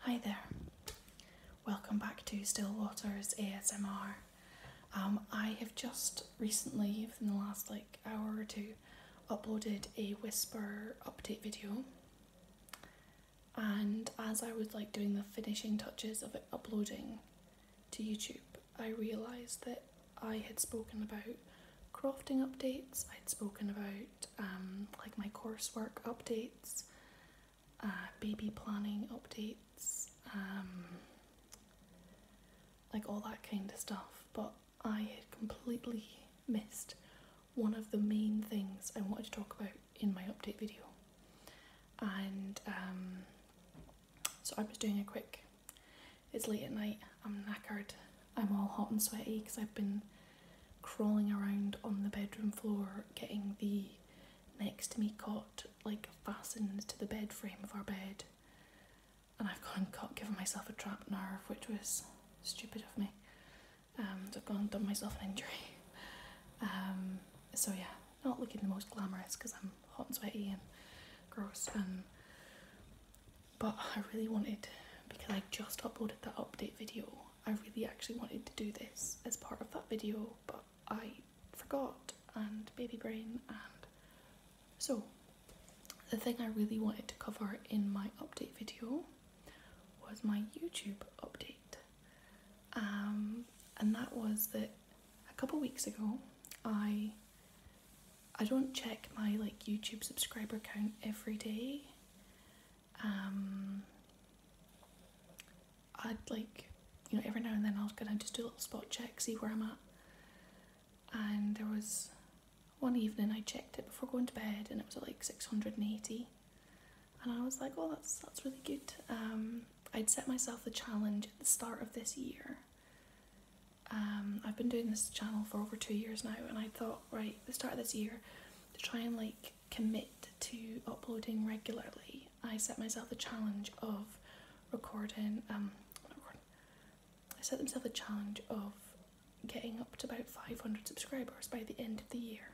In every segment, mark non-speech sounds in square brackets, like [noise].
Hi there. Welcome back to Still Waters ASMR. Um, I have just recently, within the last like hour or two, uploaded a Whisper update video. And as I was like doing the finishing touches of it uploading to YouTube, I realised that I had spoken about crafting updates, i had spoken about um, like my coursework updates, uh, baby planning updates, um, like all that kind of stuff. But I had completely missed one of the main things I wanted to talk about in my update video. And um, so I am just doing a quick, it's late at night, I'm knackered, I'm all hot and sweaty because I've been crawling around on the bedroom floor getting the next to me cot like fastened to the bed frame of our bed. And I've gone caught given myself a trapped nerve, which was stupid of me. and um, I've gone and done myself an injury. Um, so yeah, not looking the most glamorous because I'm hot and sweaty and gross and but I really wanted because I just uploaded that update video I really actually wanted to do this as part of that video but I forgot and baby brain and so the thing I really wanted to cover in my update video was my YouTube update um, and that was that a couple weeks ago I I don't check my like YouTube subscriber count every day um, I'd like, you know, every now and then i was gonna just do a little spot check, see where I'm at. And there was one evening I checked it before going to bed, and it was like 680. And I was like, oh, that's that's really good. Um, I'd set myself the challenge at the start of this year. Um, I've been doing this channel for over two years now, and I thought right the start of this year to try and like commit to uploading regularly i set myself the challenge of recording um, i set myself the challenge of getting up to about 500 subscribers by the end of the year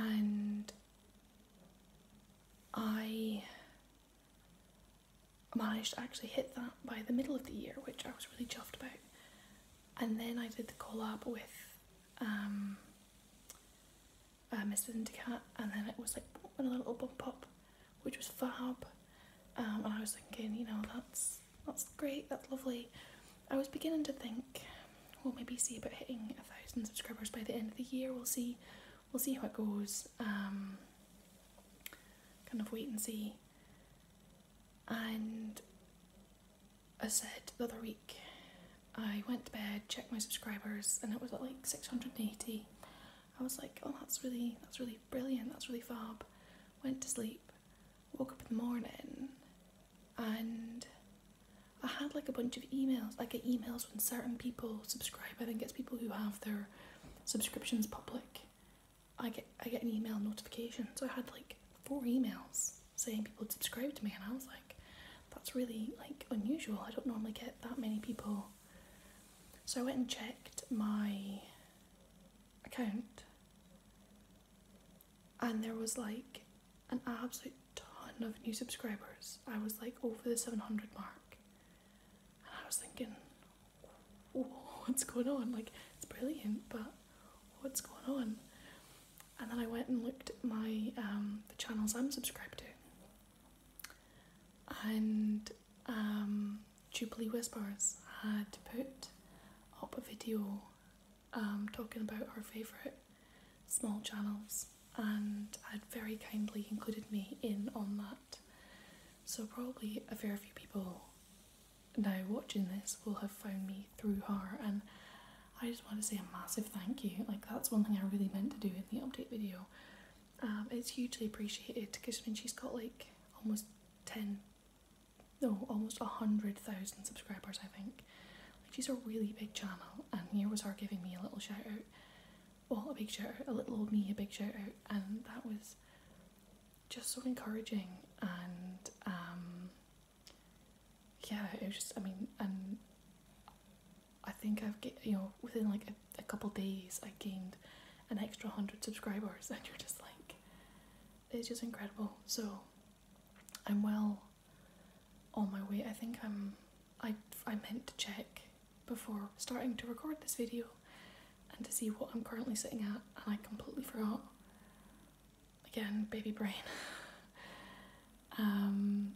and i managed to actually hit that by the middle of the year, which I was really chuffed about. And then I did the collab with um, uh, Mrs. Indicat, and then it was like a little bump up, which was fab. Um, and I was thinking, you know, that's that's great, that's lovely. I was beginning to think we maybe see about hitting a thousand subscribers by the end of the year. We'll see, we'll see how it goes. Um, kind of wait and see and I said the other week I went to bed, checked my subscribers, and it was like 680. I was like, oh that's really that's really brilliant, that's really fab. Went to sleep, woke up in the morning and I had like a bunch of emails. I get emails when certain people subscribe. I think it's people who have their subscriptions public I get I get an email notification. So I had like four emails saying people had subscribed to me, and I was like, that's really like unusual. I don't normally get that many people. So I went and checked my account, and there was like an absolute ton of new subscribers. I was like over the 700 mark, and I was thinking, [laughs] what's going on? Like, it's brilliant, but what's going on? And then I went and looked at my um, the channels I'm subscribed to, and um, Jubilee Whispers had put up a video um, talking about her favourite small channels, and had very kindly included me in on that. So probably a very few people now watching this will have found me through her and I just want to say a massive thank you. Like that's one thing I really meant to do in the update video. Um, it's hugely appreciated because I mean she's got like almost 10 no almost 100,000 subscribers I think. she's a really big channel and here was her giving me a little shout out. Well a big shout out, a little old me a big shout out and that was just so encouraging and um, yeah, it was just I mean, and I think I've you know within like a, a couple days I gained an extra hundred subscribers, [laughs] and you're just like, it's just incredible. So I'm well on my way. I think I'm I I meant to check before starting to record this video and to see what I'm currently sitting at, and I completely forgot. Again, baby brain. [laughs] Um,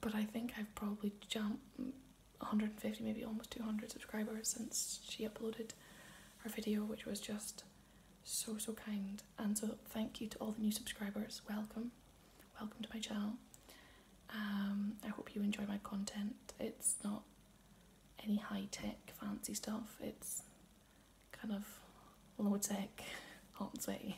but I think I've probably jumped 150, maybe almost 200 subscribers since she uploaded her video, which was just so so kind. And so thank you to all the new subscribers. Welcome, welcome to my channel. Um, I hope you enjoy my content. It's not any high tech fancy stuff. It's kind of low tech, aren't we?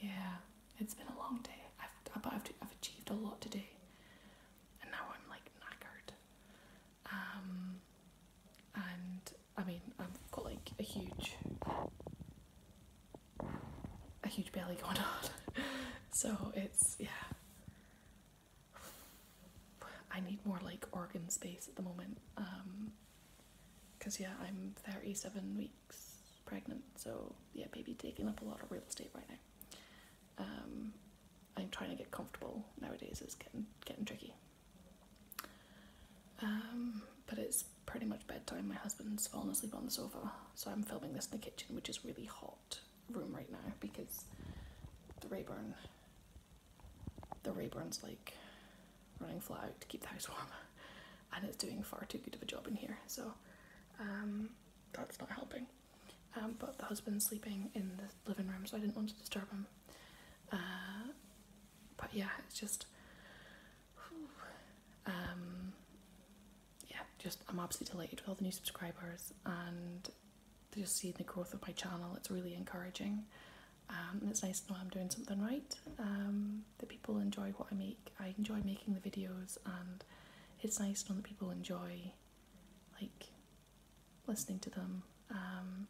yeah, it's been a long day. I've I've, achieved a lot today, and now I'm like knackered. Um, and I mean I've got like a huge, a huge belly going on, [laughs] so it's yeah. [sighs] I need more like organ space at the moment. Um, Cause yeah, I'm 37 weeks pregnant, so yeah, baby taking up a lot of real estate right now. Um, I'm trying to get comfortable nowadays. is getting getting tricky. Um, but it's pretty much bedtime. My husband's fallen asleep on the sofa, so I'm filming this in the kitchen, which is really hot room right now because the Rayburn, the Rayburn's like running flat to keep the house warm, [laughs] and it's doing far too good of a job in here. So um, that's not helping. Um, but the husband's sleeping in the living room, so I didn't want to disturb him. Uh, but yeah, it's just. Um, yeah, just I'm absolutely delighted with all the new subscribers and just seeing the growth of my channel. It's really encouraging. Um, and it's nice to know I'm doing something right. Um, that people enjoy what I make. I enjoy making the videos, and it's nice to know that people enjoy, like, listening to them. Um,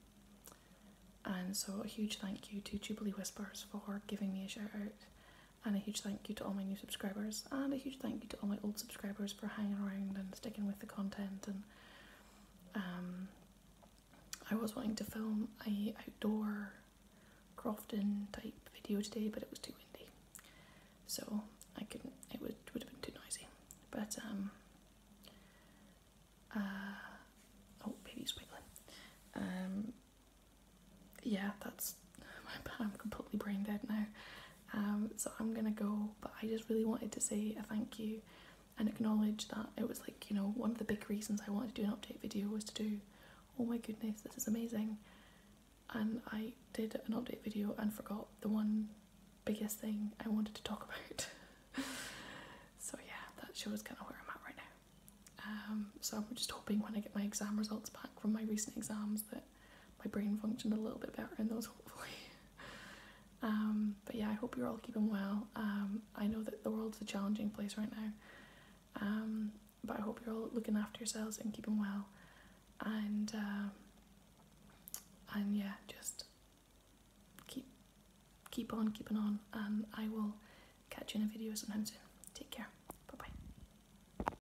and so, a huge thank you to Jubilee Whispers for giving me a shout out and a huge thank you to all my new subscribers, and a huge thank you to all my old subscribers for hanging around and sticking with the content. And um, I was wanting to film a outdoor Crofton type video today, but it was too windy, so I couldn't. It would would have been too noisy. But um, uh, oh, baby's wiggling. Um, yeah, that's I'm completely brain dead now. Um, so I'm gonna go, but I just really wanted to say a thank you and acknowledge that it was like, you know, one of the big reasons I wanted to do an update video was to do, oh my goodness, this is amazing. And I did an update video and forgot the one biggest thing I wanted to talk [laughs] about. so yeah, that shows kind of where I'm at right now. Um, so I'm just hoping when I get my exam results back from my recent exams that my brain functioned a little bit better in those, [laughs] hopefully. Um, but yeah, I hope you're all keeping well. Um, I know that the world's a challenging place right now, um, but I hope you're all looking after yourselves and keeping well. And and yeah, just keep keep on keeping on, I will catch you in a video sometime soon. Take care. Bye bye.